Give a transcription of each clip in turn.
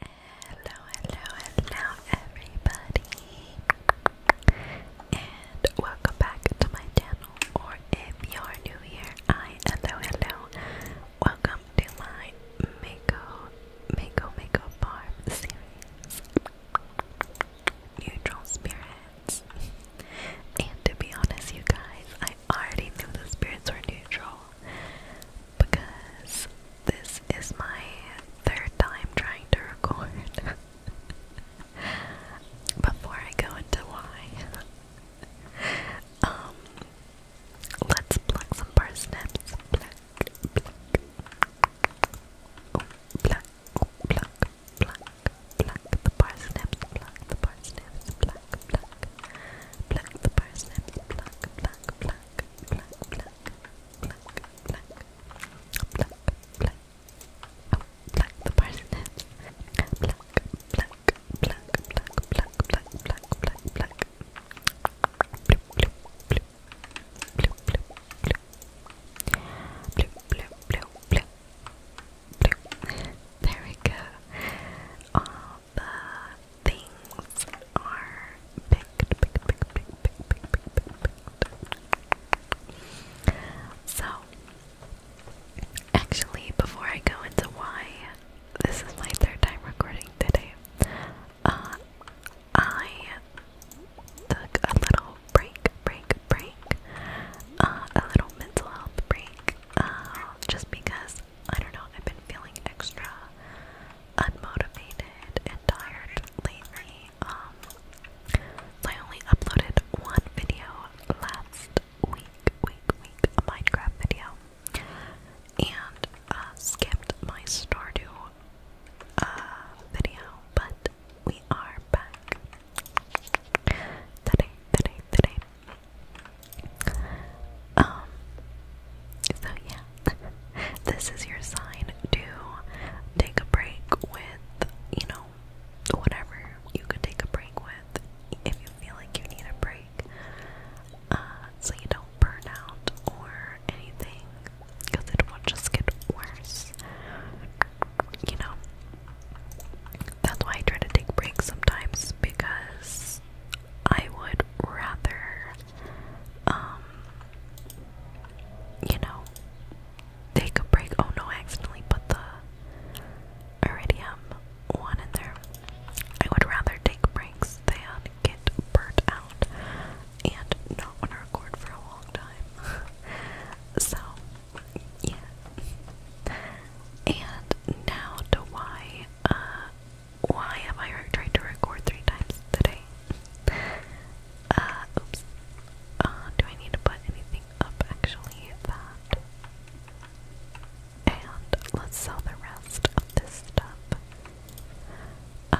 Hello, hello, hello, everybody, and welcome back to my channel. Or if you're new here, I hello, hello, welcome to my Mako, Mako, Mako Farm series, Neutral Spirits. And to be honest, you guys, I already knew the spirits were neutral because this is my third time trying to record. Before I go into why, um, let's pluck some parsnips. Pluck, pluck, oh, pluck, oh, pluck, pluck, the parsnips. Pluck the parsnips. Pluck, pluck, pluck the parsnips. Pluck, pluck, pluck, black, black, black, black, black, black, black. Oh, black the parsnips. Black, black, black, black, black, black, black, black, black. Blue, blue, blue, blue, blue, blue. Blue, blue, blue, blue, blue. there we go. Oh, the things are picked, picked, picked, picked, picked, picked, picked, picked. So, actually, before I go into why this is my third time recording today, uh, I took a little break, break, break, uh, a little mental health break, uh, just because I don't know, I've been feeling extra unmotivated and tired lately. Um, I only uploaded one video last week, week, week, a Minecraft video, and uh, skipped my Stardew uh, video, but we are back today, today, today. Um, so yeah, this is your sign to take a break with, you know, whatever you could take a break with if you feel like you need a break, uh, so you don't burn out or anything, because it will just get worse. You know, that's why I try to take breaks sometimes because I would rather um, you know, take a break. Oh no, I accidentally put the iridium one in there. I would rather take breaks than get burnt out and not want to record for a long time. so, yeah. And now to why why am I trying to record three times today? Uh, oops. Uh, do I need to put anything up actually? And let's sell the rest of this stuff. Uh,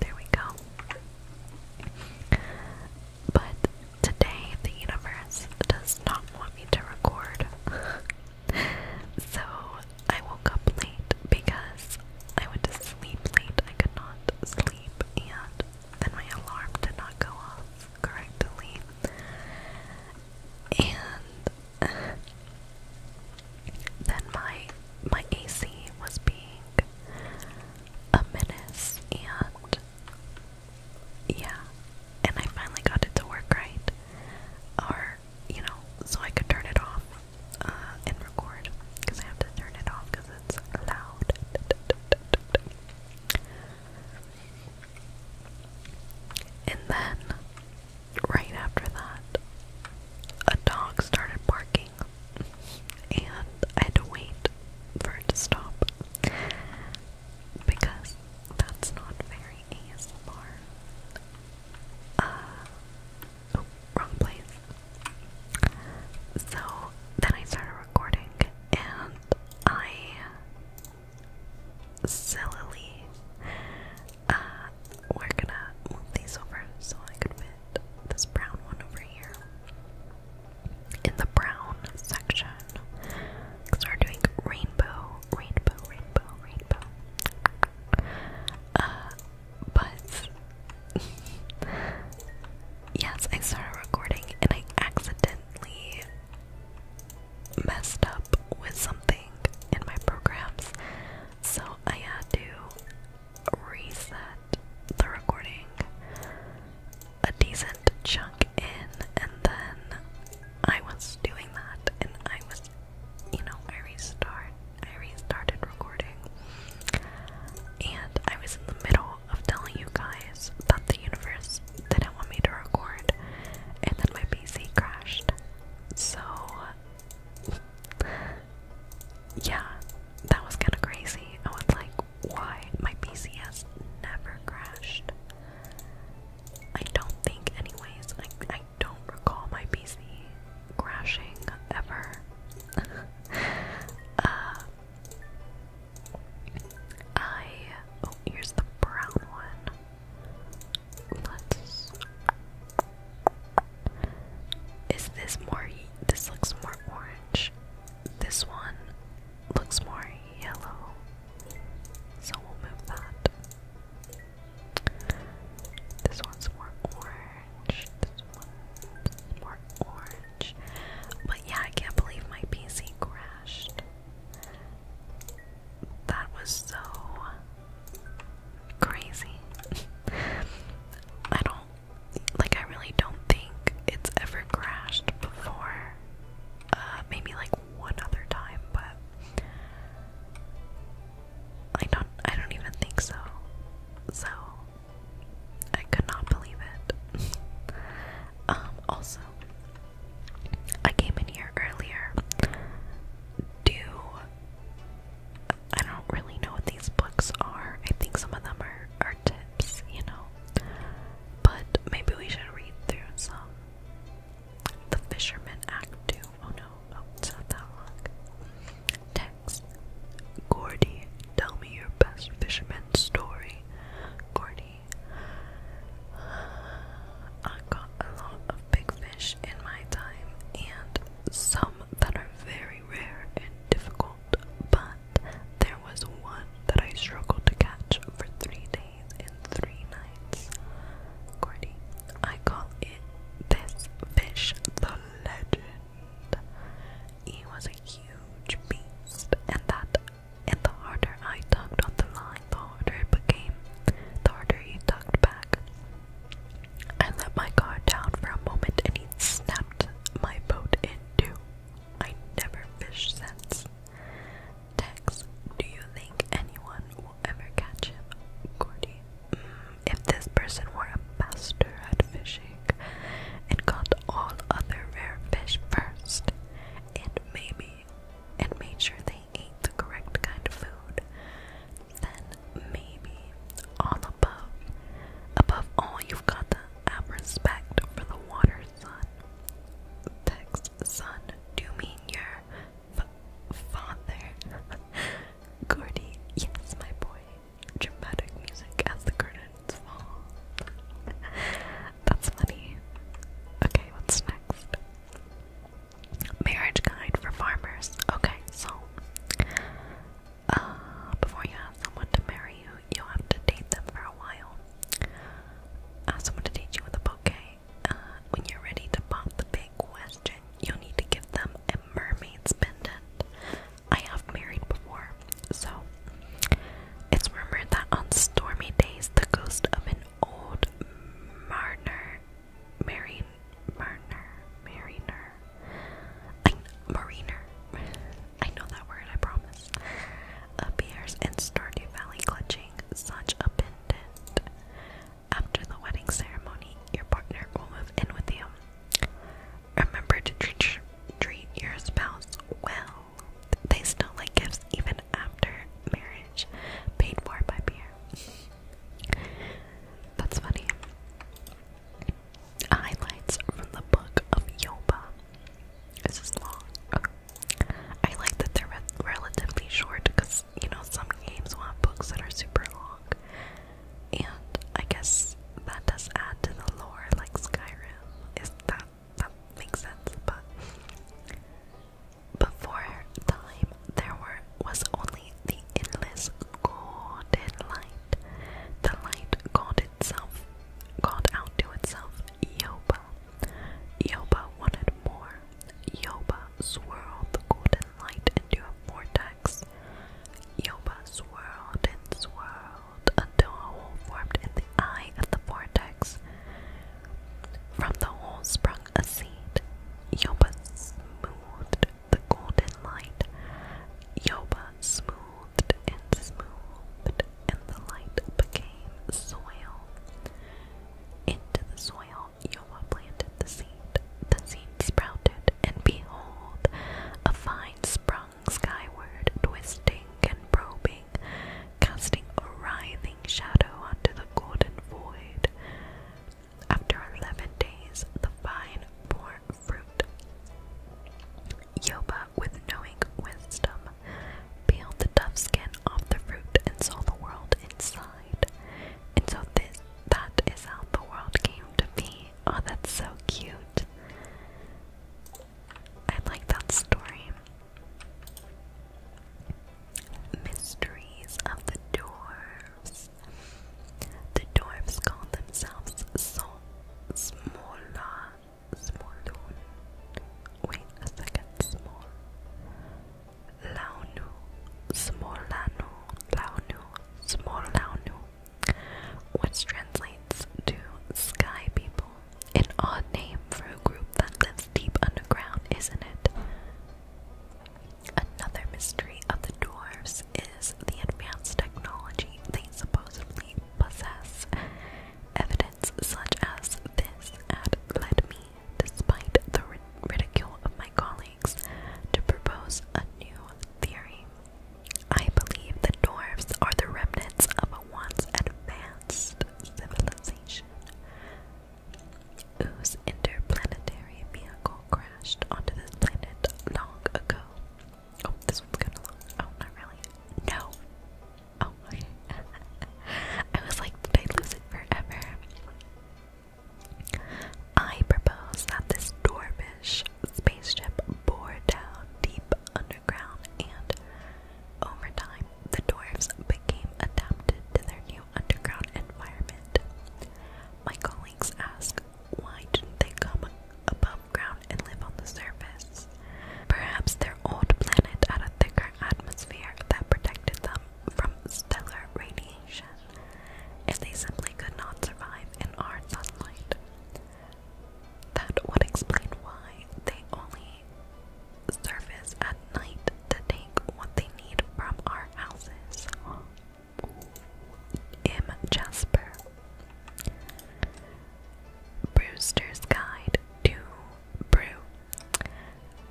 there we go. But today, the universe does not want me to record. so I woke up late because I went to sleep late. I could not sleep, and then my alarm did not go off correctly. And then my my AC was being a menace and yeah, and I finally got it to work right, or you know, so I could turn it off uh, and record because I have to turn it off because it's loud. And then, right after that, a dog started barking and I had to wait for it to stop because that's not very ASMR. Uh, oh, wrong place. So then I started recording, and I. Sillily, uh, we're gonna move these over so I can fit this brown one over here in the brown section. Because doing rainbow, rainbow, rainbow, rainbow. Uh, but yes, I started recording and I accidentally messed up with something in my programs, so I had to reset the recording a decent chunk in, and then I was doing that, and I was, you know, I restart, I restarted recording, and I was in the middle of telling you guys that the universe didn't want me to record, and then my PC crashed, so. Yeah, that was kind of crazy. I was like, why? My PC has never crashed. I don't think, anyways. I, I don't recall my PC crashing ever. uh, I. Oh, here's the brown one. Let's. Is this more? This looks more orange. This one looks more yellow. So we'll move that. This one's more orange. This one's more orange. But yeah, I can't believe my PC crashed. That was so crazy. I don't like I really don't think it's ever crashed before. Uh, maybe like one other time, but I don't. I don't even think so. So I could not believe it. Um, also, I came in here earlier. Do I don't really know what these books are. I think some of them are, are tips, you know. But maybe we should read through some. The Fisherman Act 2. Oh no, oh, it's not that long. Text Gordy, tell me your best fisherman story. Gordy, I got a lot of big fish in my time and some that are very rare and difficult, but there was one that I struggled to catch for three days and three nights. Cordy, I call it this fish the legend. He was a huge beast, and that and the harder I tugged on the line, the harder it became. The harder he tugged back. I let my guard down for a moment and he snapped my boat in two. I never fished since. Tex, do you think anyone will ever catch him? Gordy, mm, if this person were a master at fishing and caught all other rare fish first, and maybe, and made sure they ate the correct kind of food, then maybe. All above. Above all, you've got the have respect for the water, son. Text, son, do you mean your f father? Gordy, yes, my boy. Dramatic music as the curtains fall. That's funny. Okay, what's next? Marriage guide for farmers. Okay, so uh, before you ask someone to marry you, you'll have to date them for a while. Ask uh, someone to date you with a bouquet. Uh, when you're ready to pop the big question, you'll need to give them a mermaid's pendant. I have married before, so it's rumored that on stormy days, the ghost of an old mariner, marine, mariner, mariner, Mariner. I, Mariner. I know that word, I promise. beer's in Stardew Valley clutching such a pendant. After the wedding ceremony, your partner will move in with you. Remember to treat, treat your spouse well. They still like gifts even after marriage, paid for by beer. That's funny. Highlights from the Book of Yoba. This is long. I like that they're relatively short because, you know, some games will have books that are super long. And I guess that does add to the lore, like Skyrim. Is that that makes sense? But before time, there were was only the endless golden light. The light called itself, called out to itself, Yoba. Yoba wanted more. Yoba swirled the golden light into a vortex. Yoba swirled and swirled until a hole formed in the eye of the vortex. From the hole sprung a seed. Yoba smoothed the golden light. Yoba smoothed and smoothed, and the light became soil. Into the soil, Yoba planted the seed. The seed sprouted, and behold, a vine sprung skyward, twisting and probing, casting a writhing shadow onto the golden void. After eleven days, the vine for fruit. Yoba, with knowing wisdom, peeled the tough skin off the fruit and saw the world inside. And so this that is how the world came to be. Oh, that's so cute. I like that story. Mysteries of the Dwarves. The dwarves called themselves soul Smolna, Smolun. Wait a second, small. Launu, Smolanu, Launu, which translates to sky people. An odd name for a group that lives deep underground, isn't it? Another mystery of the dwarves is the advanced technology they supposedly possess. Evidence such as this ad led me, despite the ridicule of my colleagues, to propose a new theory. I believe the dwarfs are the remnants of a once advanced civilization whose interplanetary vehicle crashed onto this planet long ago. Oh, this one's gonna long. Oh, not really. No. Oh, okay. I was like, did I lose it forever? I propose that this dwarfish spaceship bore down deep underground, and over time, the dwarves became adapted to their new underground environment. My colleagues ask, why didn't they come above ground and live on the surface. Perhaps their old planet had a thicker atmosphere that protected them from stellar radiation, and they simply could not survive in our sunlight. That would explain why they only surface at night to take what they need from our houses. M. Jasper Brewster's Guide to Brew.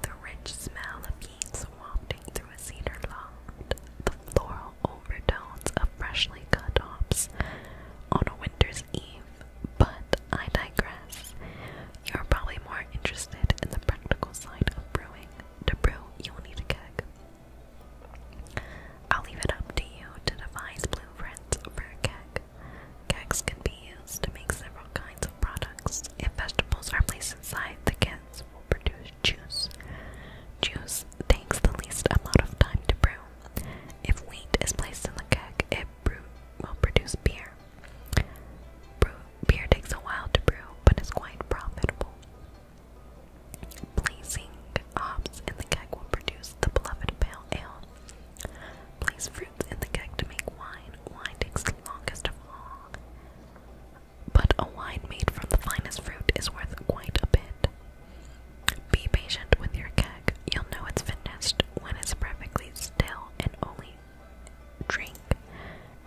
The rich smell of yeast wafting through a cedar loft, the floral overtones of freshly cut hops on a winter's eve. But I digress. You're probably more interested in the practical side of brewing. To brew, you will need a keg, I'll leave it up to you to devise blueprints for a keg. Kegs can be used to make several kinds of products. If vegetables are placed inside, the kegs will produce juice. Juice takes the least amount of time to brew. If wheat is placed in the keg, it will produce beer. beer takes a while to brew, but is quite profitable. Placing hops in the keg will produce the beloved pale ale. Place fruits in the keg to make wine. Wine takes longest of all. But a wine made from the finest fruit is worth quite a bit. Be patient with your keg. You'll know it's finished when it's perfectly still and only drink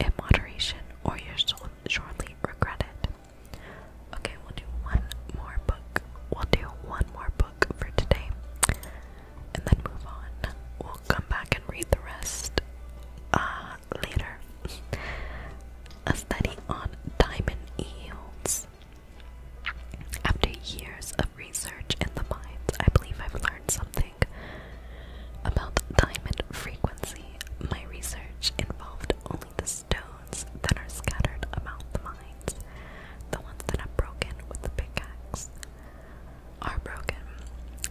in moderation, or you'll surely regret it. Okay, we'll do one more book. We'll do one more book for today and then move on. We'll come back and read the rest uh, later. A study on diamond yields. After years of research in the mines, I believe I've learned something about diamond frequency. My research involved only the stones that are scattered about the mines, the ones that are broken with the pickaxe, are broken.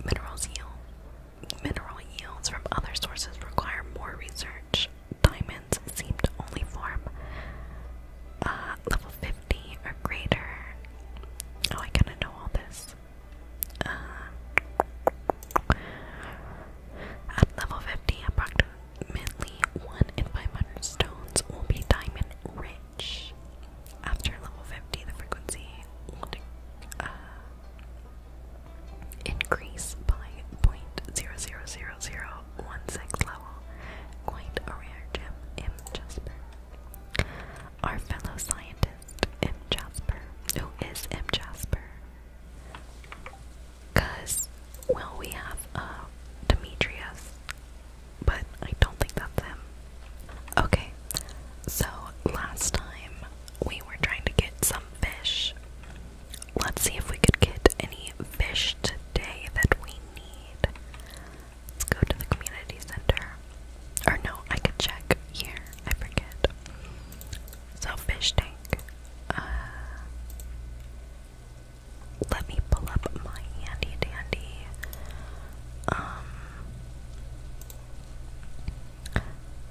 Minerals yield. Mineral yields from other sources require more research. Diamonds seem to only form uh, level 50 or greater. Oh, I kind of know all this. Uh, at level 50, approximately approximately 1 in 500 stones will be diamond rich. After level 50, the frequency will uh, increase by 0.00016 level. Quite a rare gem, M. Jasper. Our fellow scientist, M. Jasper. Who is M. Jasper? Because, well, we have uh, Demetrius, but I don't think that's him. Okay, so last time we were trying to get some fish. Let's see if we could get any fish today that we need. Let's go to the community center. Or no, I could check here. I forget. So, fish tank. Uh, let me pull up my handy dandy um,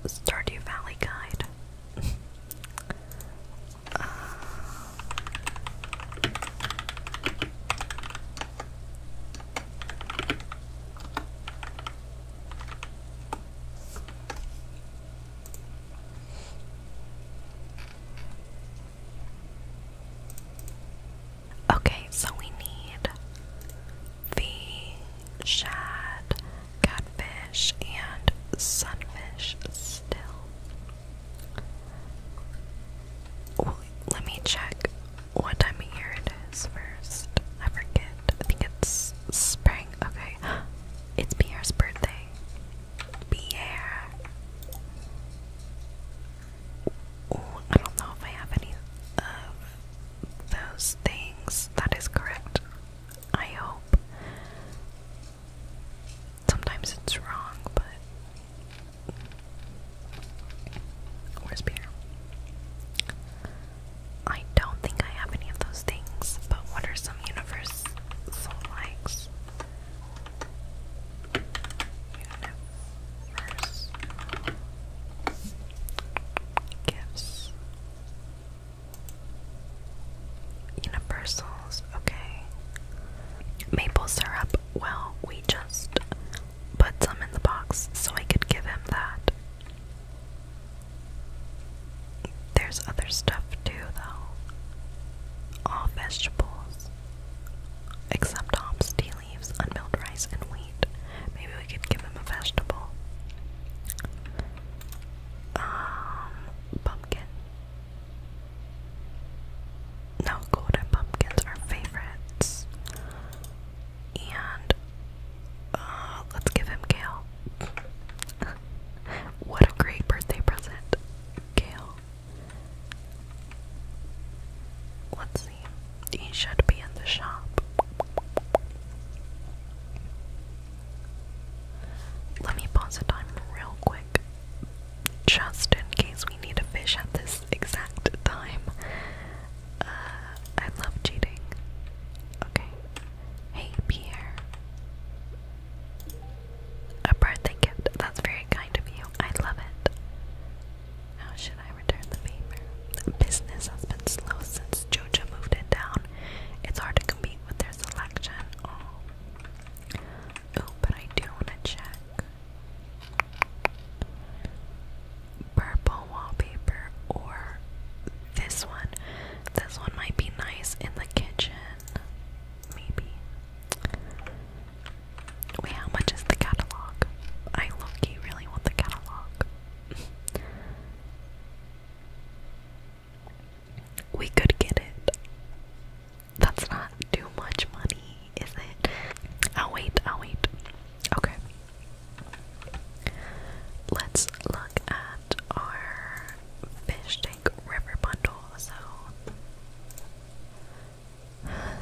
Stardew Valley guide. Okay, so we need the shad, catfish, and sunfish still. let me check what time of year it is first. I forget. I think it's spring. Okay. It's Pierre's birthday. Pierre. I don't know if I have any of those things. That is correct. I hope. Sometimes it's wrong, but. Where's Pierre? I don't think I have any of those things, but what are some universal likes? Unit verse Universals, okay. Maple syrup. Well, we just put some in the box so I could give him that. There's other stuff too, though. All vegetables, except hops, tea leaves, unmilled rice, and wheat. Maybe we could give him a vegetable. Um, pumpkin. No, golden pumpkins are favorites. And uh, let's give him kale. what a great birthday present, kale. Let's see. He should be in the shop. Let me pause the time real quick. Just in case we need a fish at this exact time. Uh, I love cheating. Okay. Hey, Pierre. A birthday gift. That's very kind of you. I love it. How should I return the paper? Business has been slow since Jojo moved in town. It's hard to compete with their selection. oh, oh but I do want to check. Purple wallpaper or this one. This one might be nice in the kitchen. Maybe. Wait, how much is the catalog? I low really want the catalog. we could get it. That's not too much money, is it? I'll wait, I'll wait. Okay. Let's look at our fish tank river bundle zone.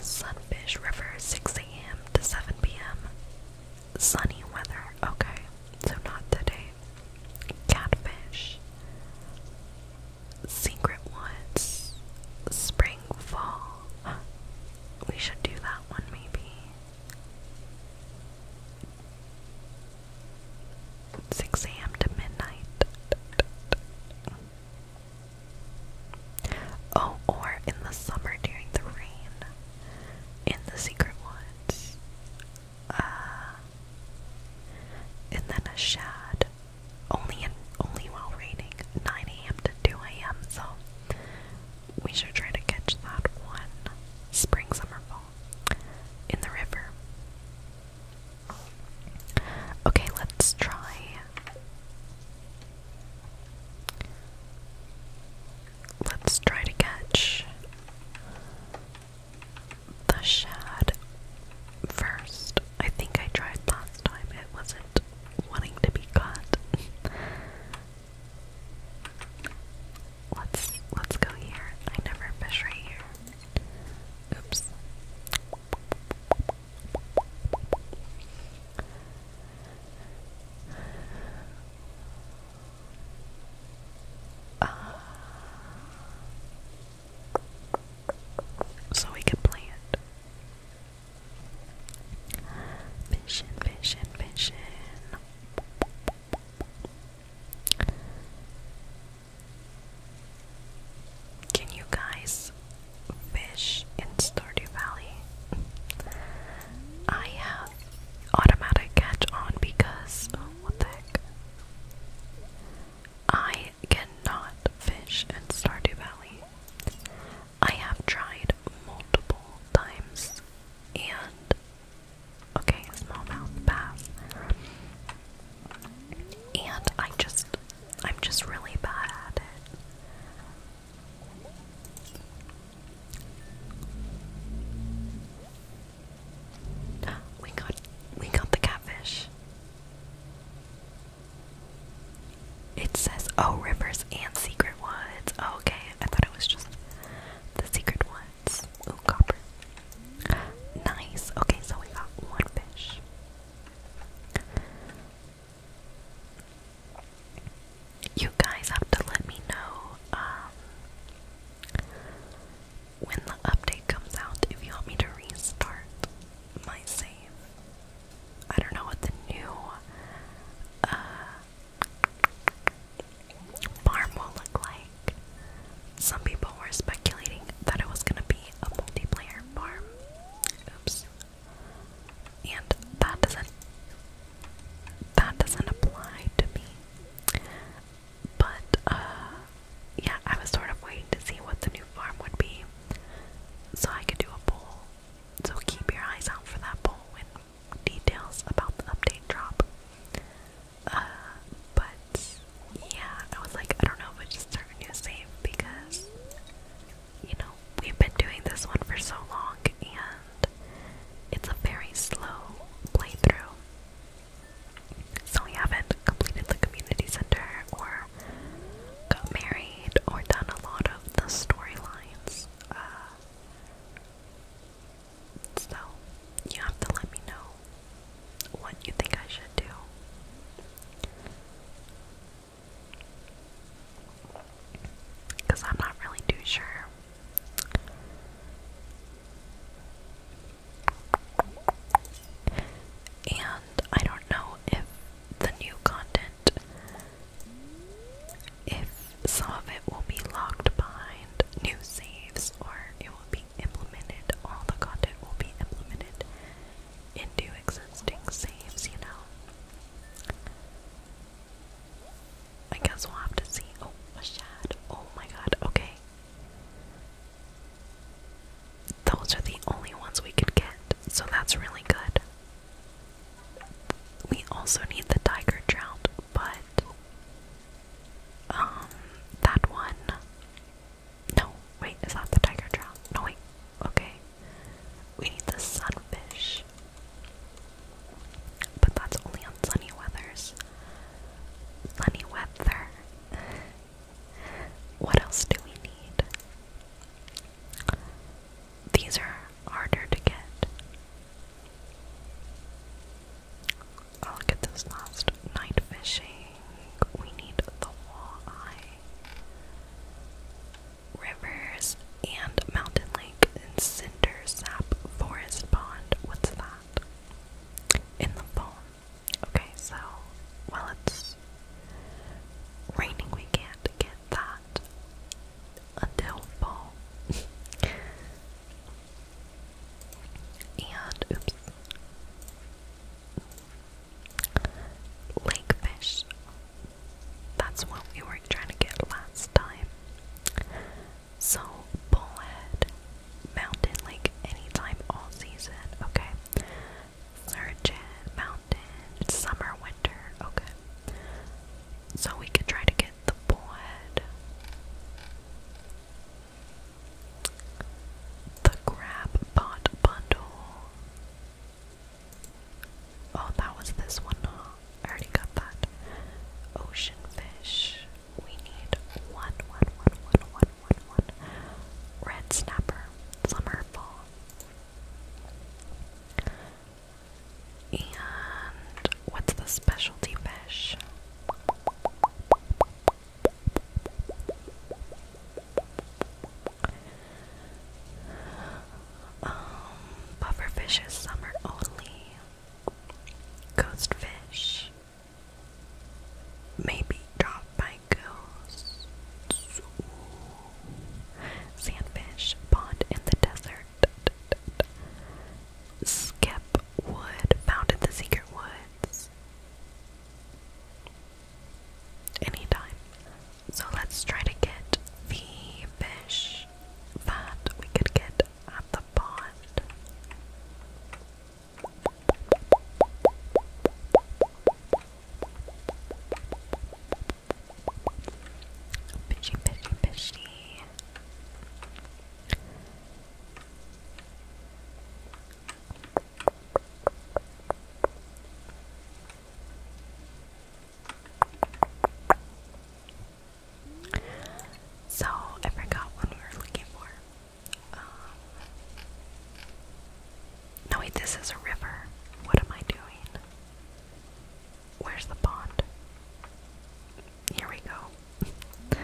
Sunfish River, 6 a.m. to 7 p.m. Sunny weather. Okay, so not today. Catfish. Secret Woods. Spring Fall. We should do that one maybe. 6 a.m. to midnight. Oh, or in the summer during the rain. In the secret woods. Uh, and then a shad. Only in only while raining. 9 a.m. to 2 a.m. So we should try to catch that one. Spring, summer, fall. In the river. Okay, let's try. Let's try to catch the shad first. I think I tried last time, it wasn't wanting to be caught. let's let's go here. I never fish right here. Oops. Ah. so we can plant. Vision, vision, vision. Can you guys fish in Stardew Valley? I have automatic catch on because I cannot fish in Stardew Valley. I have tried multiple times and okay, smallmouth bass. And I am just, I'm just really bad at it. We got we got the catfish. It says oh rivers and secret woods. Oh, okay, I thought it was just the secret woods. Ooh, copper. Nice. Okay, so we got one fish. You guys have to let me know um, when the update comes out if you want me to restart my save. I don't know what the new uh, farm will look like some people were speculating that it was going to be a multiplayer farm. Oops. And that doesn't that doesn't apply to me. But uh, yeah, I was sort of waiting to see what the new farm would be so I could do a poll. So keep your eyes out for that poll with details about the update drop. Uh, but yeah, I was like, I don't know if we just start a safe because, you know, we've been doing this one for so long and it's a very slow playthrough. So we haven't completed the community center or got married or done a lot of the storylines. Uh, so you have to let me know what you think I should do. Because I'm not really too sure. And I don't know if the new content, if some of it will be locked behind new saves or it will be implemented, all the content will be implemented into existing saves, you know? I guess we'll have to see. Oh, a shad. Oh my god, okay. Those are the only ones we could get, so that's really good. We also need the tiger trout, but um that one no, wait, is that the tiger trout? No, wait, okay. We need the sunfish. But that's only on sunny weathers. Sunny weather. what else do we need? These are harder to get. I'll get this last night fishing. We need the walleye. Rivers and mountain lake and cinder sap forest pond. What's that? In the phone. Okay, so well it's raining we can't get that until fall. and oops. Lake fish. That's what we were trying to get last time. So, bullhead, mountain lake anytime all season, okay? Surgeon, mountain, summer, winter, okay. So we could try to get the bullhead. The crab pot bundle. Oh, that was this one. Huh? I already got that. Ocean fish. We need one, one, one, one, one, one, one. Red snapper. Summer fall. And what's the specialty fish? Um, is summer only. Ghost fish. Maybe dropped by ghosts. Sandfish, pond in the desert. Skip wood, found in the secret woods anytime. So let's try to get the fish that we could get at the pond. Fishy, fishy, fishy. So I forgot what we were looking for. Um, no, wait, this is a river. What am I doing? Where's the pond? Here we go.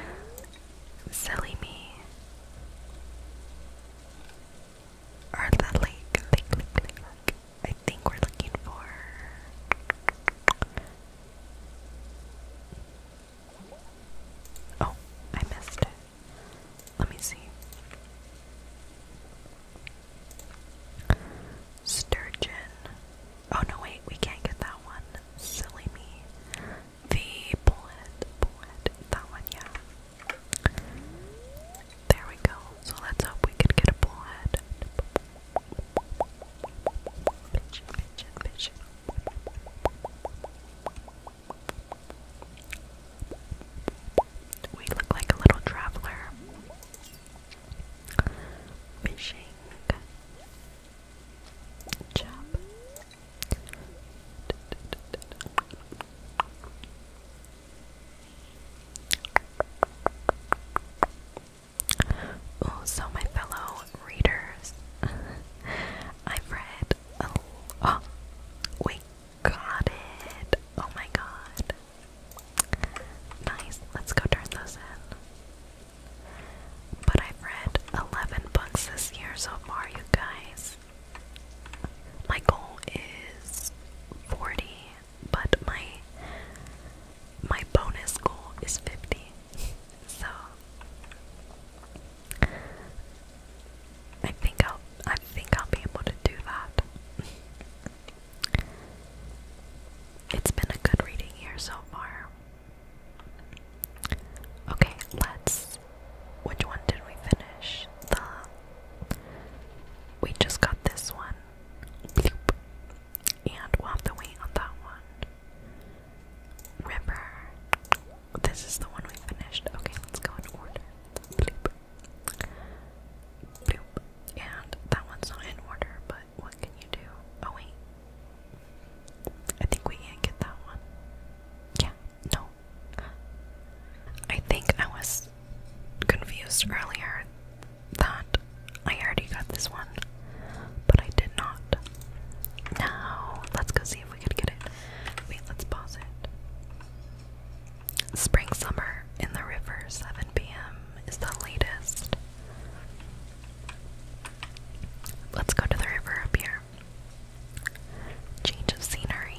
Silly me. Or the lake. Lake, lake, lake, I think we're looking for. Oh, I missed it. Let me see. Sturgeon. Oh no, wait, we can't get that one. Silly me. The bullet, bullet. That one, yeah. There we go. So let's hope we can get a bullhead. We look like a little traveler. Fishing. Chop so my fellow readers, I've read. Oh, oh, got it! Oh my god! Nice. Let's go turn those in. But I've read eleven books this year so far, you guys my goal is 40, but my my bonus goal is 50. So I think I'll I think I'll be able to do that. It's been a good reading here so far. Okay, let's which one did we finish? The. We just got this one. And we'll have to wait on that one. River. This is the one we finished. Okay, let's go in order. Bloop. Bloop. And that one's not in order, but what can you do? Oh, wait. I think we can't get that one. Yeah, no, I think I was confused earlier that I already got this one, but I did not. Now, let's go see if we could get it. Wait, let's pause it. Spring Summer in the River, 7 p.m. is the latest. Let's go to the river up here. Change of scenery.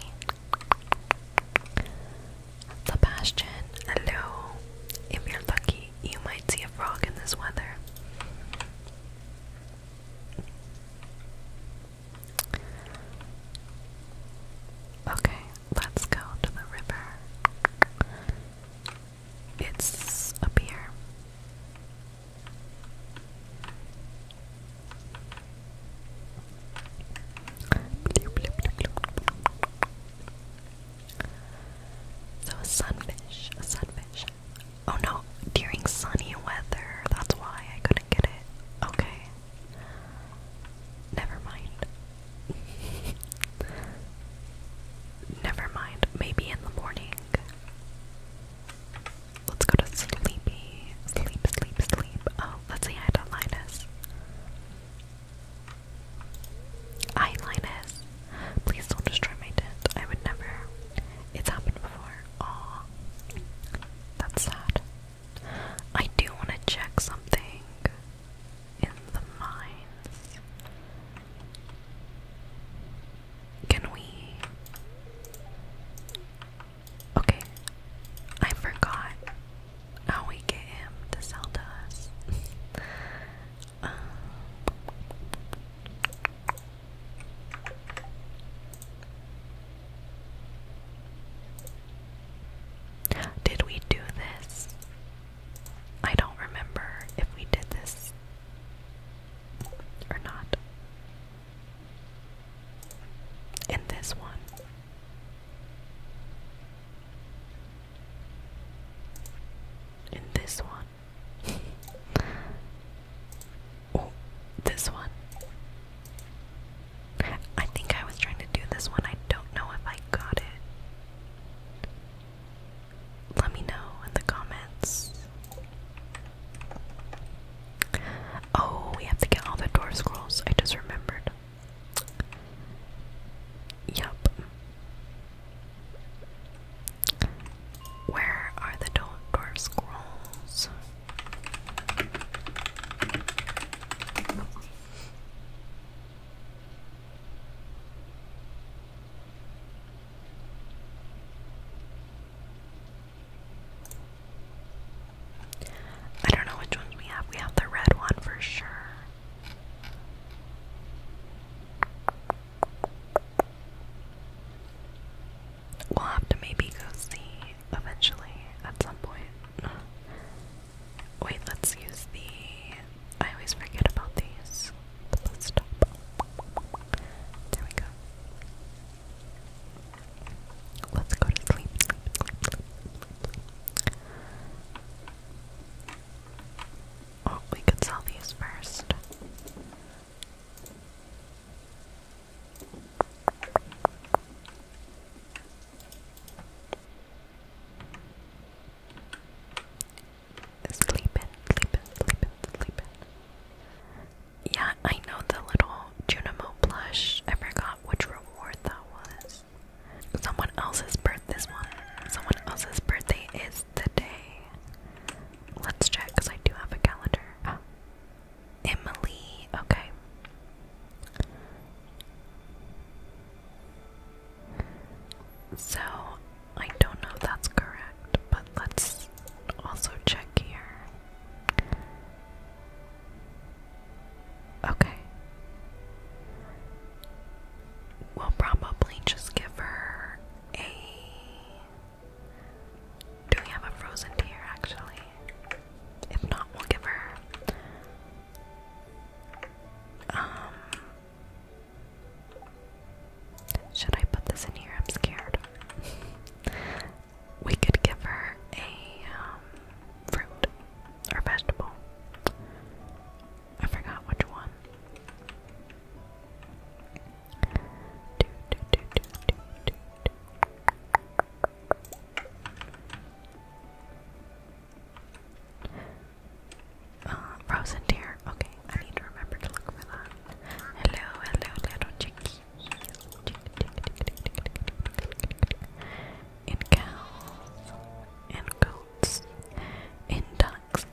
Sebastian, hello. If you're lucky, you might see a frog in this weather. Okay, let's go to the river. It's up here. So a sunfish, a sunfish. Oh no, during sunny weather, that's why I couldn't get it. Okay. Never mind. Never mind. Maybe in the morning. Let's go to sleepy. Sleep, sleep, sleep. Oh, Let's see, I do Linus. I Linus. Please don't destroy my tent. I would never. It's happened before. Aw. That's sad. I do want to check something in the mines. Can we Okay, I forgot how we get him to sell to us. Um, did we do this? I don't remember if we did this or not. In this one in this one. oh, this one. I think I was trying to do this one. I don't know if I got it. Let me know in the comments. Oh, we have to get all the door scrolls. I just remembered. Yup. Where are the dwarf scrolls? I don't know which ones we have. We have the red one for sure. We'll have to maybe go see eventually at some point. Wait, let's use the. I always forget about these. The bus stop. There we go. Let's go to sleep. Oh, we could sell these first. Sleeping, sleeping, sleeping, sleeping. Yeah, I know the little Junimo plush. I forgot which reward that was. Someone else's birth Someone else's birthday is today. Let's check because I do have a calendar. Ah. Emily, okay. So I don't know if that's correct, but let's also check here. Okay. We'll probably just give her a. Do we have a frozen tier actually? If not, we'll give her. Um. Should I put this in here? I'm scared. we could give her a um, fruit or vegetable. I forgot which one. Do, uh, frozen deer. Okay, I need to remember to look for that. Hello, hello, little chickie in cows, in goats, in ducks.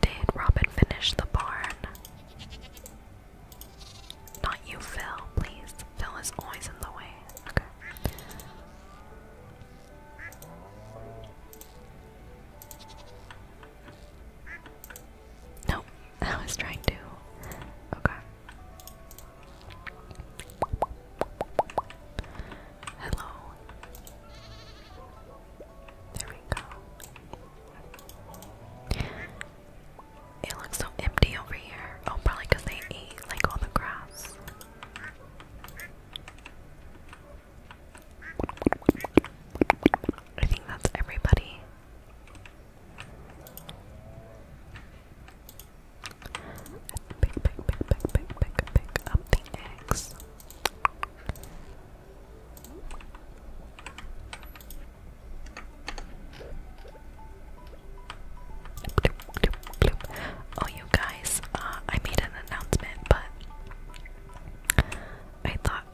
Did Robin finish the barn? Not you, Phil, please. Phil is always in the way. Okay. I was trying to. Okay. Hello. There we go. It looks so empty over here. Oh, probably they ate like all the grass. I think that's everybody. Pick, pick, pick, pick, pick, pick, pick up the eggs. Oh, you guys, uh, I made an announcement, but I thought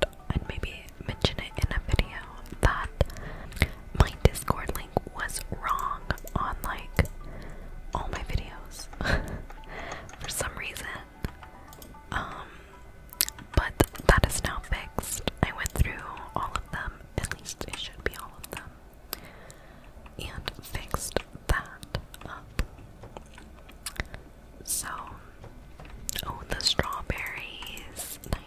maybe mention it in a video that my Discord link was wrong on like all my videos for some reason. Um, but that is now fixed. I went through all of them, at least it should be all of them, and fixed that up. So, oh, the strawberries. Nice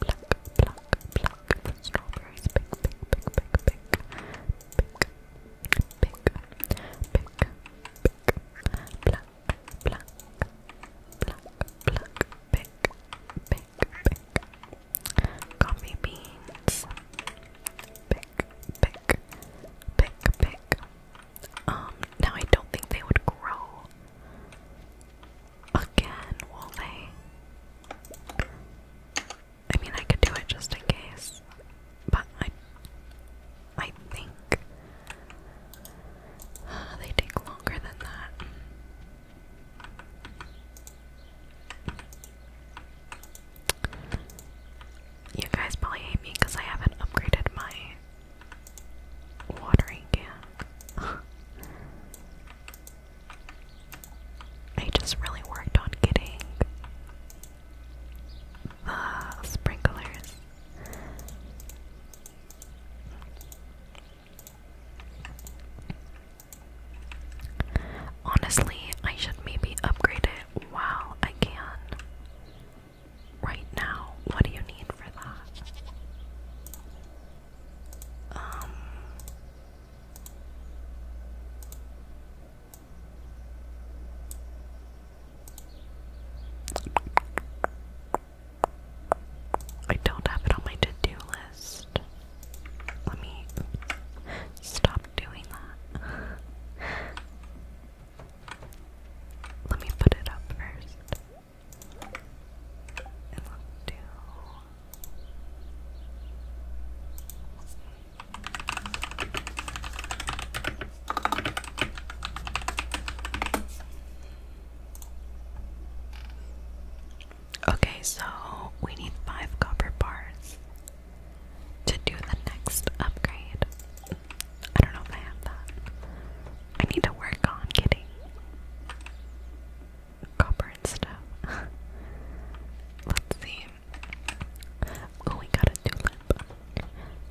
pluck, pluck, pluck the strawberries, pick, pick, pick, pick, pick, pick, pick, pick, pick, pluck, pluck, pluck, pluck, pick, pick, pick, coffee beans, pick, pick, pick, pick. Um, now I don't think they would grow again, will they? I mean, I could do it just in case, but I, I think they take longer than that. You guys probably hate me because I haven't upgraded my watering can. I just really worked on getting the sprinklers. Honestly, I should maybe upgrade it while I can right now. What do you need for that? Um. I don't have it on my to do list. Let me stop doing that. Let me put it up first. Okay, so we need five copper bars to do the next upgrade. I don't know if I have that. I need to work on getting copper and stuff. Let's see. Oh, we got a tulip.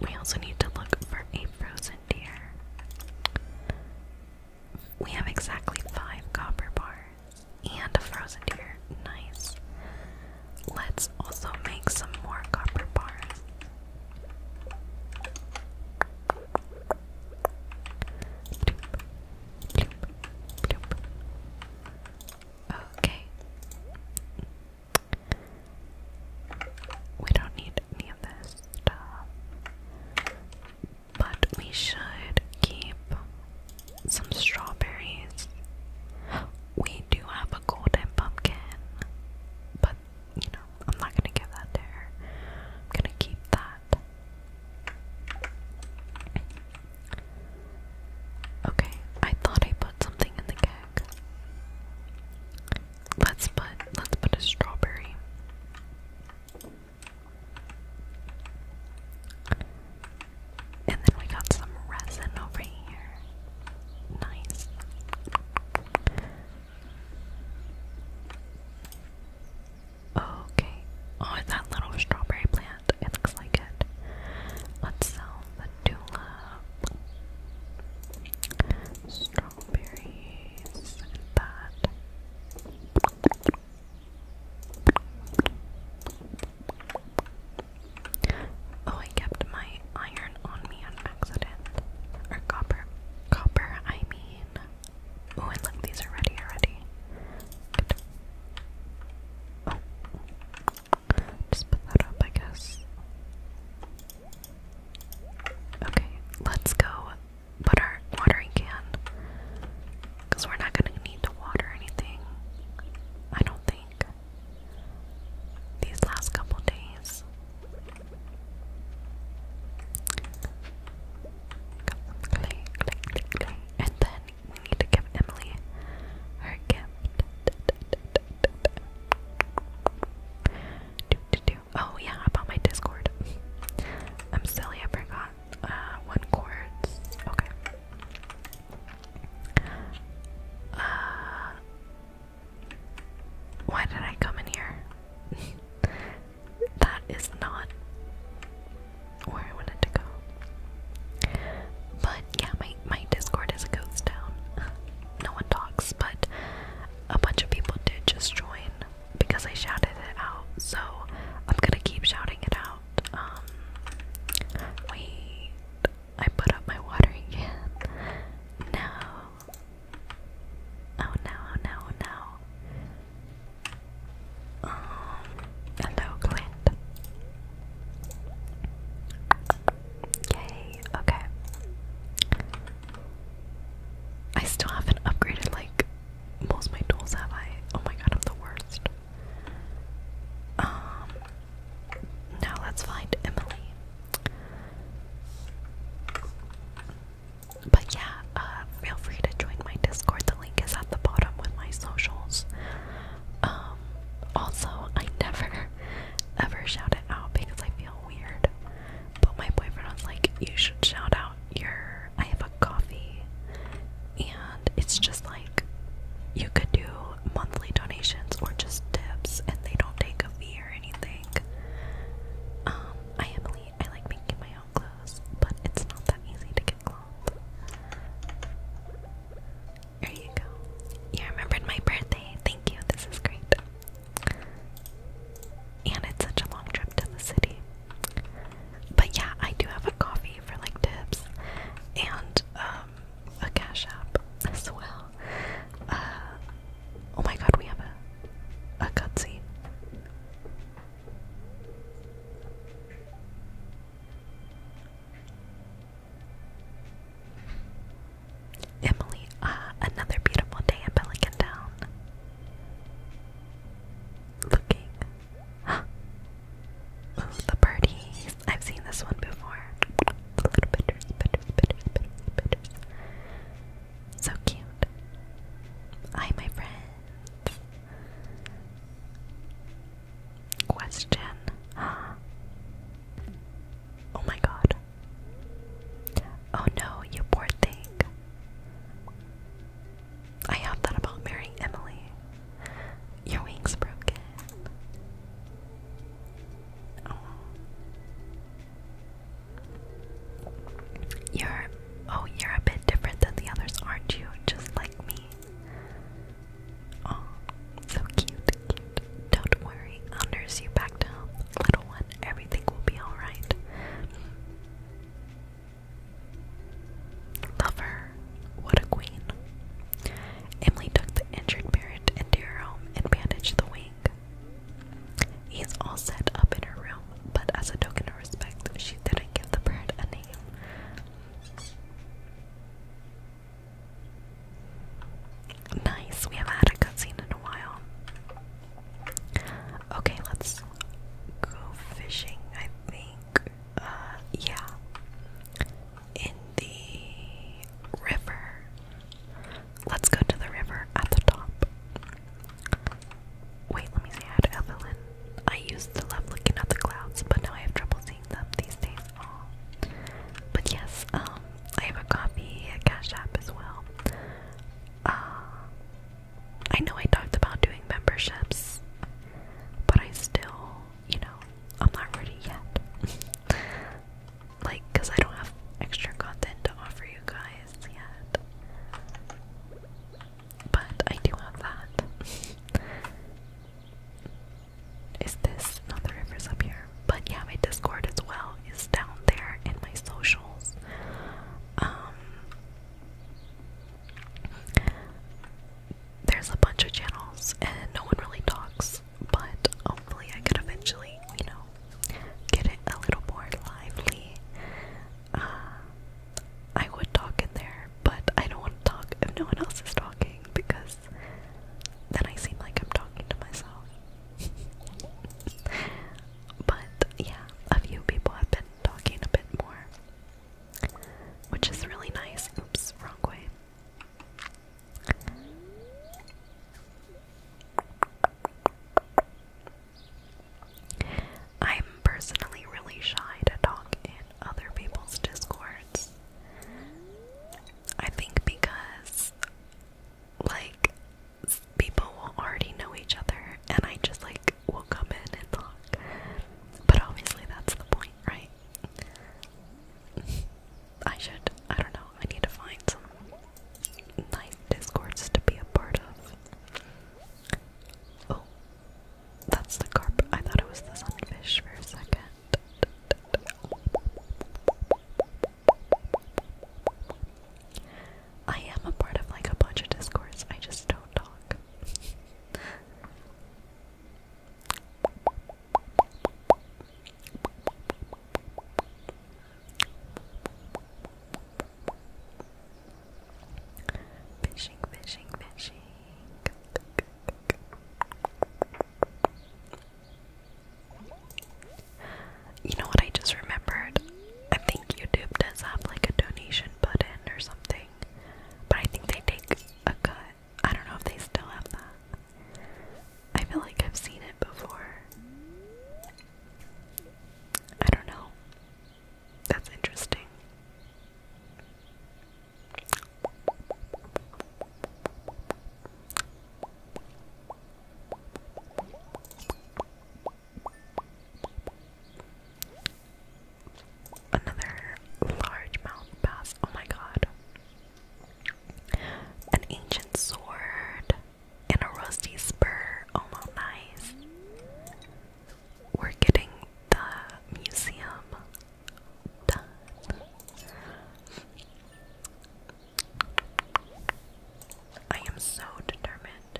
We also need to look for a frozen deer. We have exactly five copper bars and a frozen deer. Nice. Let's also make some more copper bars. Okay. We don't need any of this But we should keep some strawberries. We do have a golden pumpkin, but you know, I'm not gonna give that to her. I'm gonna keep that. Okay, I thought I put something in the keg. Let's put let's put a strawberry. And then we got some resin over here. Nice. Okay. Oh, that little strawberry plant? It looks like it. Let's sell the tulip. Strawberries. That. Oh, I kept my iron on me on accident. Or copper. Copper, I mean. Oh, and look, these are ready already. Just put that up, I guess. Okay, let's go put our watering can. Because we're not going to need to water anything. I don't think. These last couple days. And then we need to give Emily her gift. Oh yeah, about my Discord. I'm silly, I forgot. Uh, one chords. Okay. Uh, why did I come in here? that is not where I wanted to go. But yeah, my, my Discord is a ghost No one talks, but a bunch of people did just join because I shouted it out. So I'm gonna keep shouting it out. Um, I put up my watering can. No, Oh no, oh no, oh no. Um, hello, Clint. Yay, okay. I still haven't upgraded like most my tools, have I? Oh my god, I'm the worst. Um, now let's find Emily. But yeah, uh, feel free to join my Discord. The link is at the bottom with my socials. Um, also, I never ever shout it out because I feel weird. But my boyfriend was like, "You should shout out your." I have a coffee, and it's just like you could do monthly donations or just tips, and they don't take a fee or anything. Um, I am late. like making my my own clothes, but it's not that easy to get clothes. There you go. You remembered my birthday. Thank you. This is great. And it's such a long trip to the city. But yeah, I do have a coffee for like tips and um, a cash app as well. Uh, oh my god, we have a, a cutscene. Emily, uh, another beautiful day in Pelican Town. Looking. the birdies. I've seen this one before. a little bitter, so cute. Hi, my friends. Question. Oh my god. Oh no, you poor thing. I have thought about marrying Emily. Your wing's broken. Oh. You're oh, you're a bit different than the others, aren't you? Just like me. Oh, so cute, Don't worry, I'll nurse you back to health, little one. Everything will be alright. Love What a queen. Emily took the injured parrot into her home and bandaged the wing. He's all set up in her room, but as a token of respect, she didn't give the bird a name. Nice, we haven't had a cutscene in a while. Okay, let's go fishing, I think. Uh, yeah. In the river. Let's go to the river at the top. Wait, let me see. I Evelyn. I used to love looking at the clouds, but now I have trouble seeing them these days. But yes, um, I have a copy, Cash App as well. Uh, I know I talked about doing memberships, but I still, you know, I'm not ready yet. like, because I don't have extra content to offer you guys yet but I do have that. is this not the rivers up here? But yeah, my Discord as well is down there in my socials. Um, there's a bunch of channels and no one really talks, but hopefully I could eventually, you know, get it a little more lively. Uh, I would talk in there, but I don't want to talk if no one else is talking because then I seem like I'm talking to myself. but yeah, a few people have been talking a bit more, which is really nice. Oops, wrong way. I'm personally really shy to talk in other people's discords. I think because, like, people will already know each other, and I just, like, will come in and talk. But obviously, that's the point, right? I should, I don't know, I need to find some nice discords to be a part of. Oh, that's the carp. I thought it was the sunfish for a second. I am a part of like a bunch of discourse, I just don't talk. Fishing, fishing, fishing. You know what I just remembered? I think YouTube does have like a donation button or something. But I think they take a cut. I don't know if they still have that. I feel like I've seen it before. I don't know. That's interesting. Another large mouth bass. Oh my god. An ancient sword and a rusty spur. Oh, well, nice we're getting the museum done. I am so determined.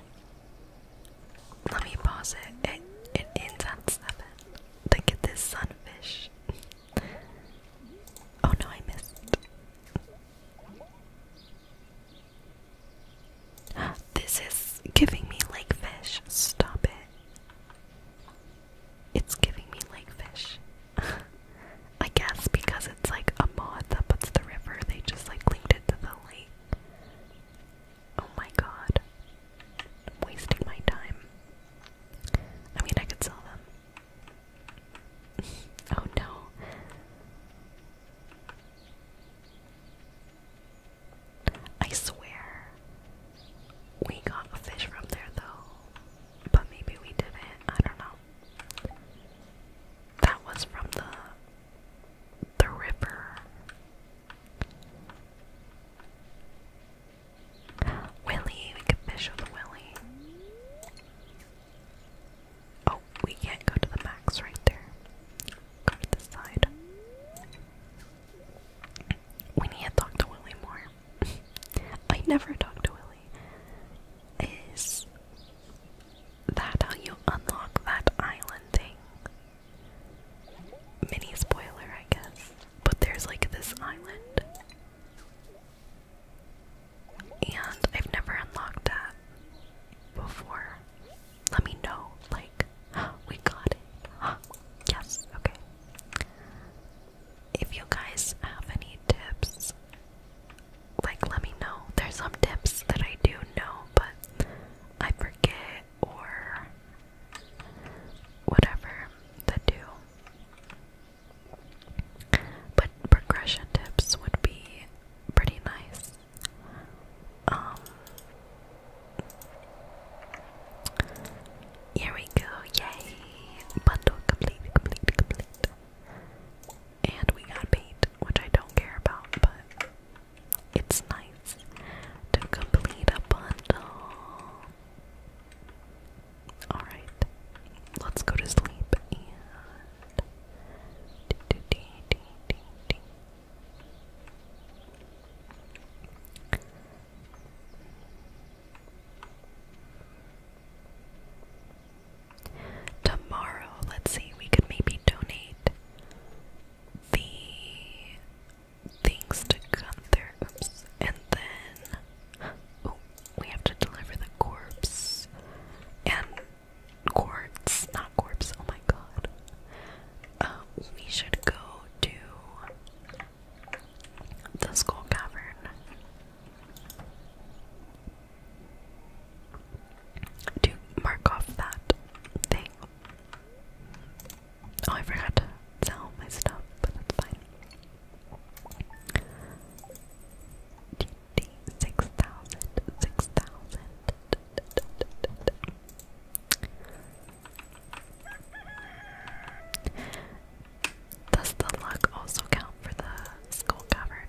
Let me pause it. It it ends at seven. To get this sunfish. oh no, I missed. This is giving me lake fish. Stop it. It's giving me lake fish. I guess because it's like a mod that puts the river, they just like linked it to the lake. Oh my god. wasting my time. I mean, I could sell them. oh no. I swear we got a fish from there though, but maybe we didn't. I don't know. That was from the the river. Willie, we can fish with Willie. Oh, we can't go to the max right there. Go to this side. We need to talk to Willie more. I never talk to Willy. Is that how you unlock that island thing? Mini spoiler, I guess. But there's like this island. And I've never unlocked that before let me know. Like, we got it. Yes, okay. If you guys have any tips, like, let me know. There's some tips that I do know, but I forget or whatever to do. But progression tips would be pretty nice. Um, here we go, yay! Bundle complete, complete, complete. And we got paint, which I don't care about, but it's nice to complete a bundle. Alright, let's go to sleep and. Tomorrow, let's see, we could maybe donate the things to Gunther. Oops. And then we have to deliver the corpse and quartz, not corpse. Oh my god. Um, we should go to the school cavern. To mark off that thing. Oh, I forgot to sell my stuff, but that's fine. 6,000, 6,000, does the luck also count for the skull cavern?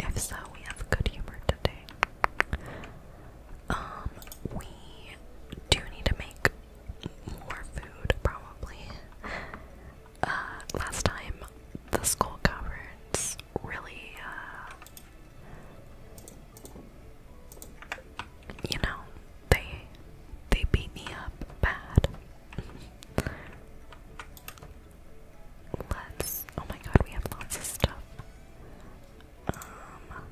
If so, we have good humor today. Um, we do need to make more food, probably. Uh, last time the skull caverns really uh, you know, they they beat me up bad. Let's oh my god, we have lots of stuff. Um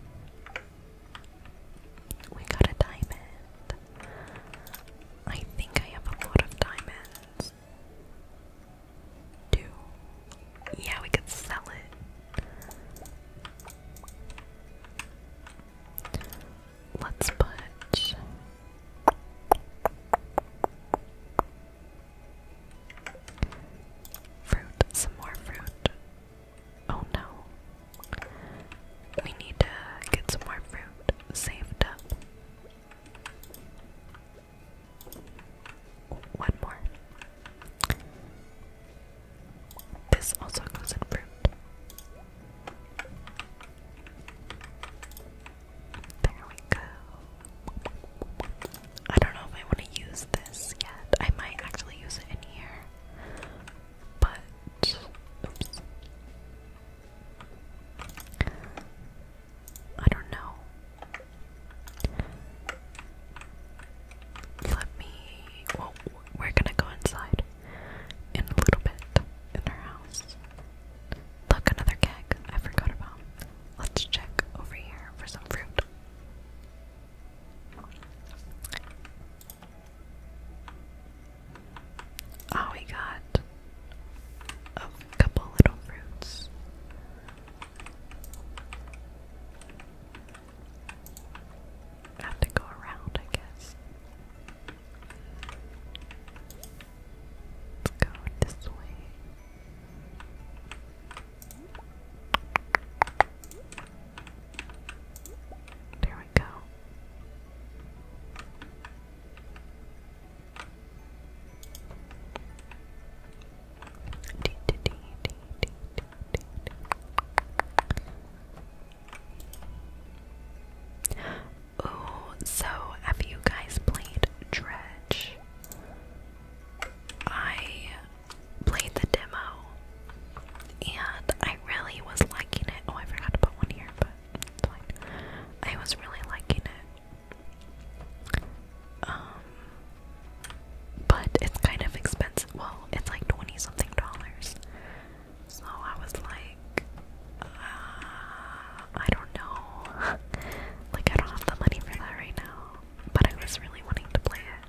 we got a diamond. I think I have a lot of diamonds do. Yeah, we could sell it. Let's put fruit, some more fruit. Oh no. We need to get some more fruit saved up. One more. This also goes in fruit. There we go. I don't know if I want to use this yet. I might actually use it in here. But, I don't know. Let me. we're gonna go inside in a little bit in her house. Look, another keg I forgot about. Let's check over here for some fruit. Oh, we got a couple little fruits. I have to go around, I guess. Let's go this way. There we go. Oh, so have you guys played Dredge? I played the demo and I really was liking it. Oh, I forgot to put one here, but I was really liking it. Um, but it's kind of expensive. Well, it's like 20 something dollars. So I was like, uh, I don't know. like, I don't have the money for that right now. But I was really wanting to play it.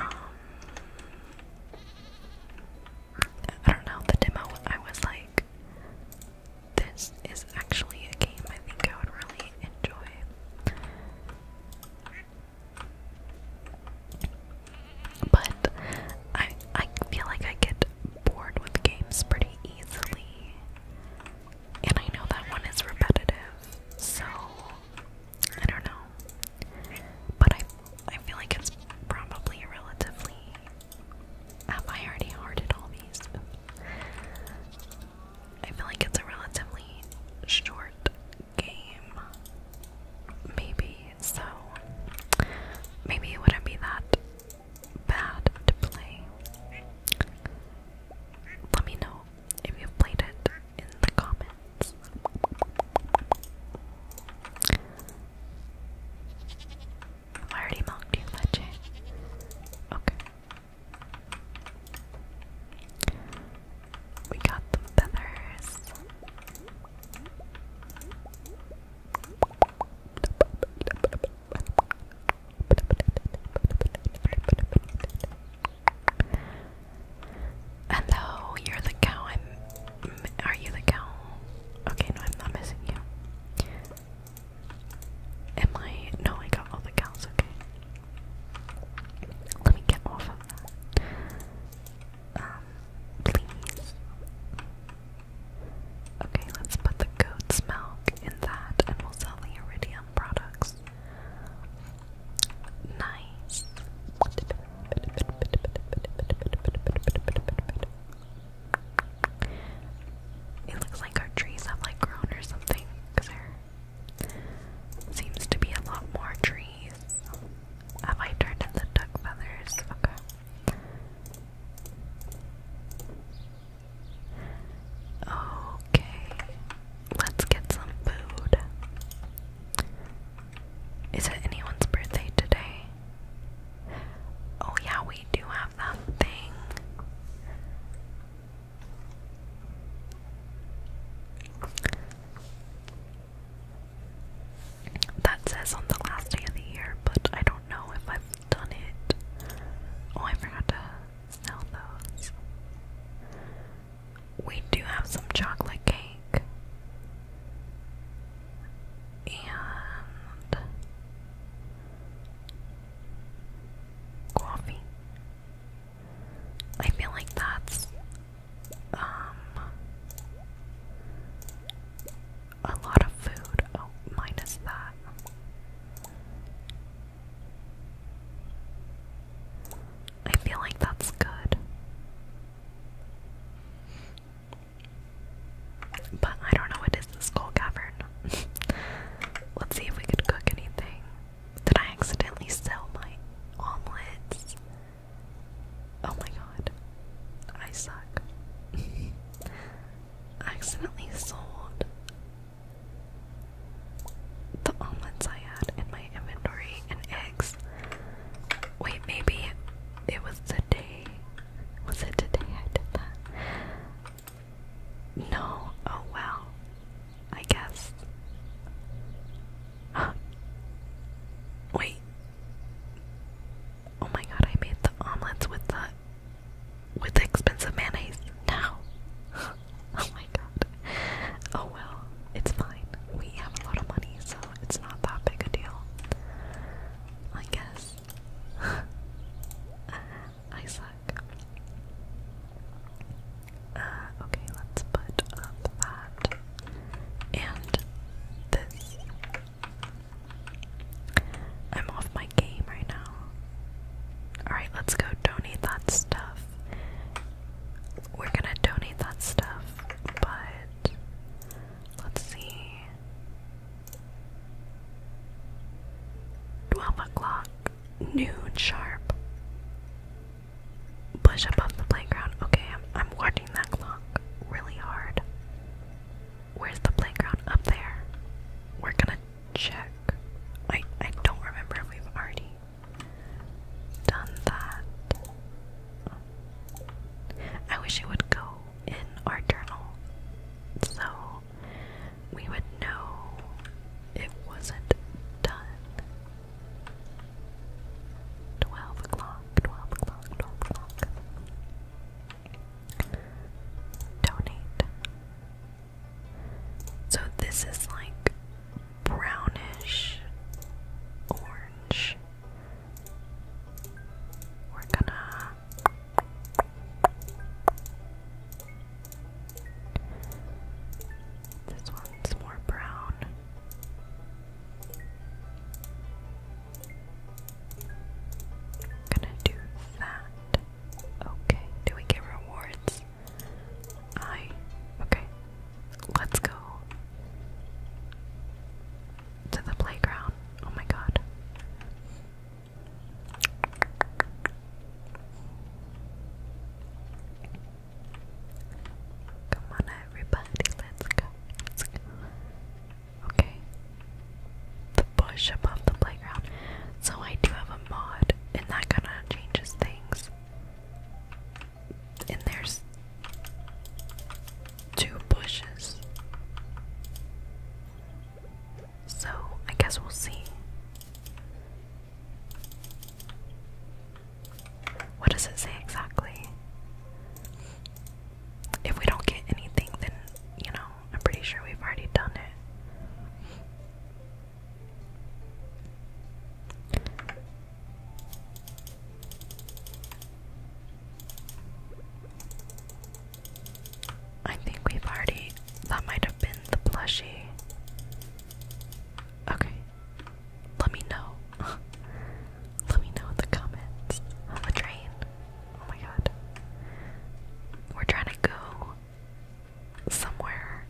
Um, I don't know. The demo, I was like, this is actually a game I think I would really enjoy. But I I feel like I get bored with games pretty easily. And I know that one is repetitive. So I don't know. But I I feel like it's probably relatively have I already hearted all these? I feel like it's a relatively short game, maybe, so maybe it wouldn't be that bad to play. Let me know if you played it in the comments. I already mocked you, Leche. Okay. We got the feathers. Hello, you're the cow. Are you the cow? Okay, no, I'm not missing you. Am I? No, I got all the cows. Okay. Let me get off of that. Um, please. Okay, let's put the goat's milk in that and we'll sell the iridium products. Nice. It looks like our trees have like grown or something because they're Seems to be a lot more trees. Have I turned in duck feathers? Okay. Okay. Let's get some food. Is it anyone's birthday today? Oh, yeah, we do have that thing. That says on the last day of the year, but I don't know if I've done it. Oh, I forgot to sell those. We do have some chocolate cake. And coffee. I feel like that's um a lot of food. Oh, minus that. I feel like that's good. But I don't know what is this coal cavern. Let's see if we could cook anything. Did I accidentally sell my omelets? Oh my god. I suck. accidentally sold the omelets I had in my inventory and eggs. Wait, maybe it was the day. Was it today I did that? No, oh well, I guess. Wait. Oh my god, I made the omelets with the with expensive mayonnaise now. oh my god. Oh well, it's fine. We have a lot of money, so it's not that big a deal. I guess. I suck. Uh, okay, let's put up that and this. I'm off my game right now. Alright, let's go donate that stuff. We're gonna donate that stuff, but let's see. 12 o'clock noon sharp. Bush above the playground. Okay, I'm, I'm watching that clock really hard. Where's the playground? Up there. We're gonna check. I, I don't remember we've already done that. I wish it would go in our journal. So we would know it wasn't done. Twelve o'clock, twelve o'clock, twelve o'clock. Donate. So this is like brownish orange. We're gonna this one's more brown. gonna do that. Okay, do we get rewards? I okay. Let's go to the playground. Oh my god. Come on, everybody, let's go. Okay. The bush above the playground. So I do have a mod, and that kind of changes things. And there's two bushes. So I guess we'll see. What does it say exactly? If we don't get anything, then, you know, I'm pretty sure we've already done it. I think we've already. That might have been the plushie. Okay. Let me know. Let me know in the comments. On the train. Oh my god. We're trying to go somewhere.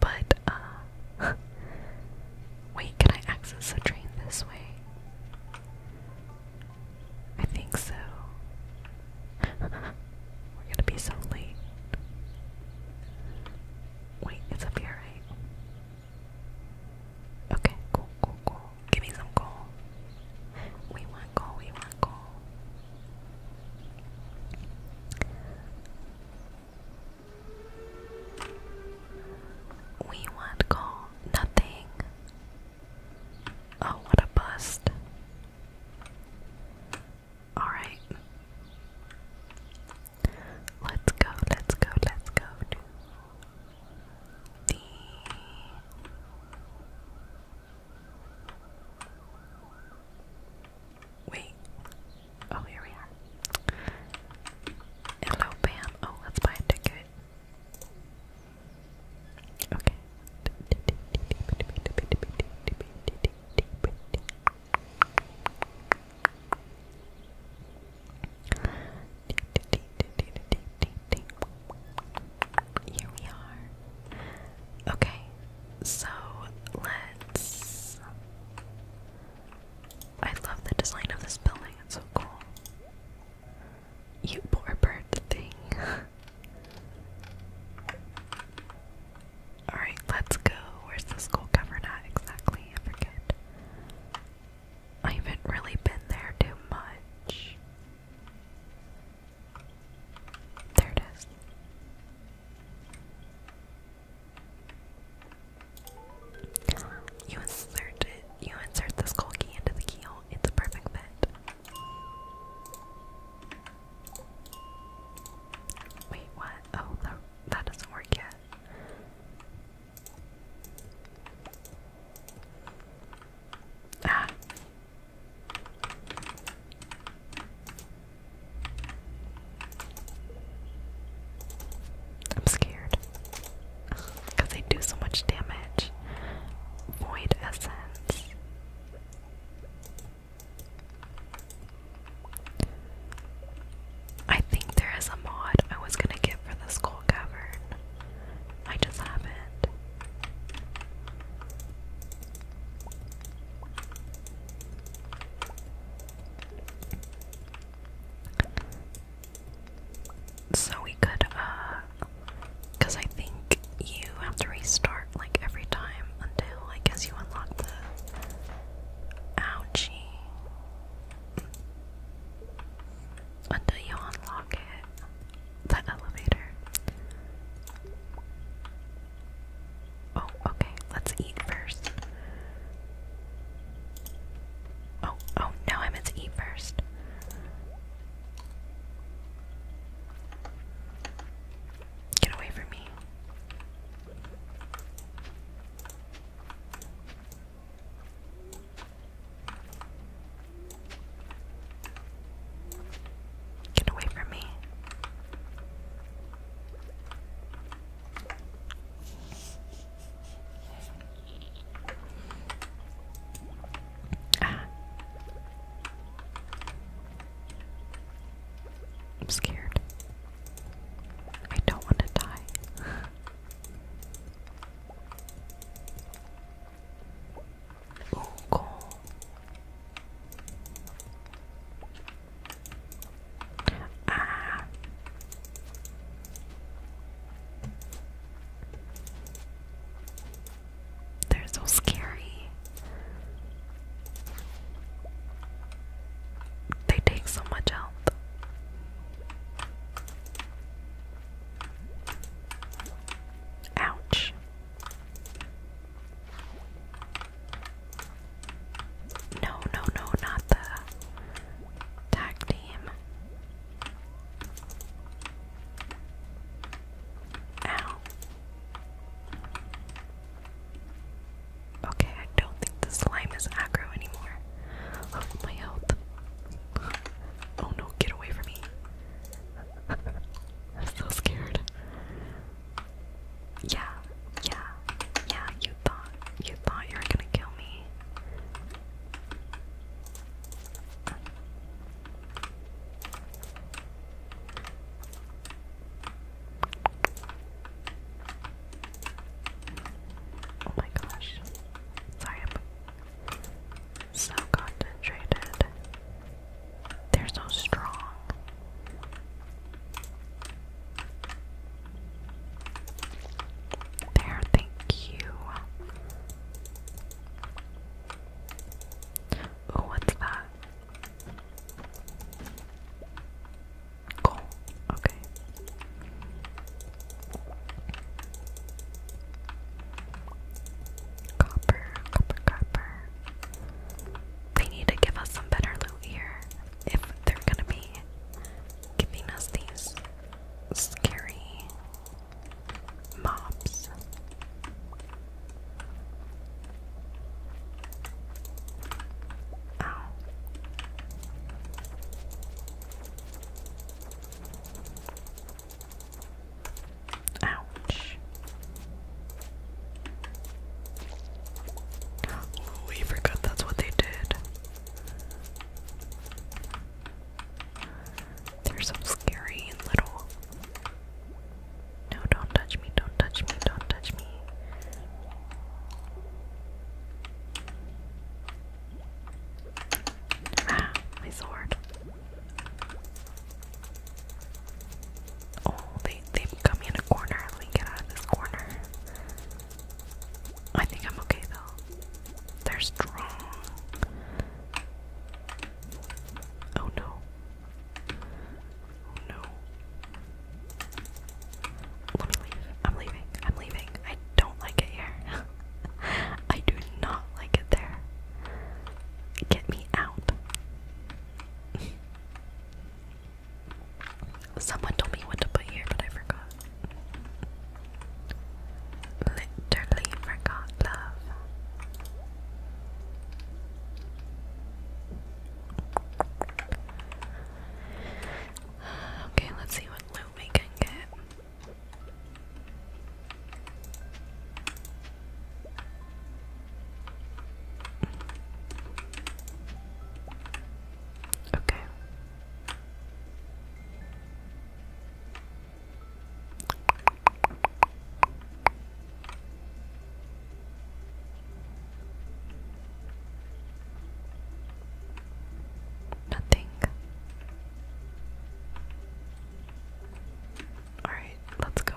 But uh wait, can I access the train this way? I think so. We're gonna be so late. Wait, it's up here, Okay, cool, cool, cool. Give me some coal. We want coal, we want coal. We want coal. Nothing. Oh, what a bust. Alright. Let's go, let's go, let's go the Wait. Oh, here we are. Hello, Bam. Oh, let's buy a ticket. Okay. Here we are. Okay, so let's. I love the design of this building, it's so cool. You poor bird thing. Alright, let's go. Where's the school cover? Not exactly? I forget. I haven't really been there too much. There it is. You insert it. You insert the skull key into the keyhole. It's a perfect fit. Wait, what? Oh, that, that doesn't work yet. Ah. I'm scared. Because they do so much damage. Void essence. I think there is a mod I was gonna get for the school cavern. I just haven't. So we could, uh, because I think you have to restart like every time until I guess you unlock the Ouchie. Until you unlock it. The elevator. Oh, okay. Let's eat first. Oh, oh, no, I meant to eat first. Get away from me. Get away from me. Ah. I'm scared. I don't want to die. Ooh, cool. Ah. They're so scary. They take so much health. Ouch. No, no, no, not the tag team. Ow. Okay, I don't think the slime is aggro anymore. Oh, my health. Oh no, get away from me. I'm so scared. Yeah, yeah, yeah, you thought you thought you were gonna kill me. Oh my gosh. Sorry, I'm so concentrated. They're so strong. There, thank you. Oh, what's that? Cool. Okay. Copper, copper, copper. They need to give us some better loot here if they're gonna be giving us these scary mobs. Ow. Ouch. we forgot that's what they did. They're so scary little. No, don't touch me, don't touch me, don't touch me. Ah, my sword. Oh, they, they've got me in a corner. Let me get out of this corner. I think I'm okay though. They're strong. Oh no no. Let me leave. I'm leaving. I'm leaving. I don't like it here. I do not like it there. Get me out. Someone told me what to put here, but I forgot. Literally forgot love. Okay, let's see what loot we can get. Okay. Nothing. Alright, let's go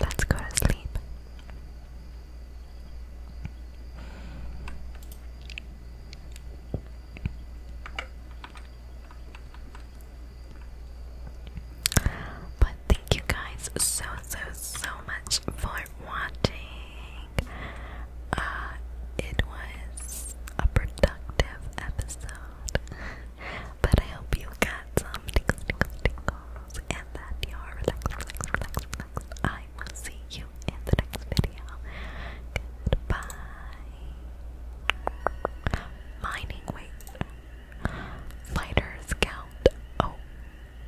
Let's go to sleep. But thank you guys so so so much for watching. Uh, it was a productive episode. But I hope you got some tickle, tickle, tickles, and that you are relaxed, relaxed, relaxed, relaxed. I will see you in the next video. Goodbye. Mining, wait. Lighters count. Oh,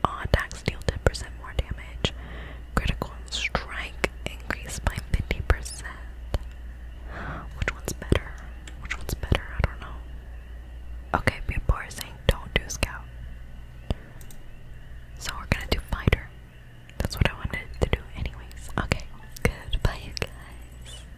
on tax deal, 10% more damage. Critical strike increased by 50%. Which one's better? Which one's better? I don't know. Okay, people are saying don't do scout. So we're gonna do fighter. That's what I wanted to do, anyways. Okay, good. Bye, you guys.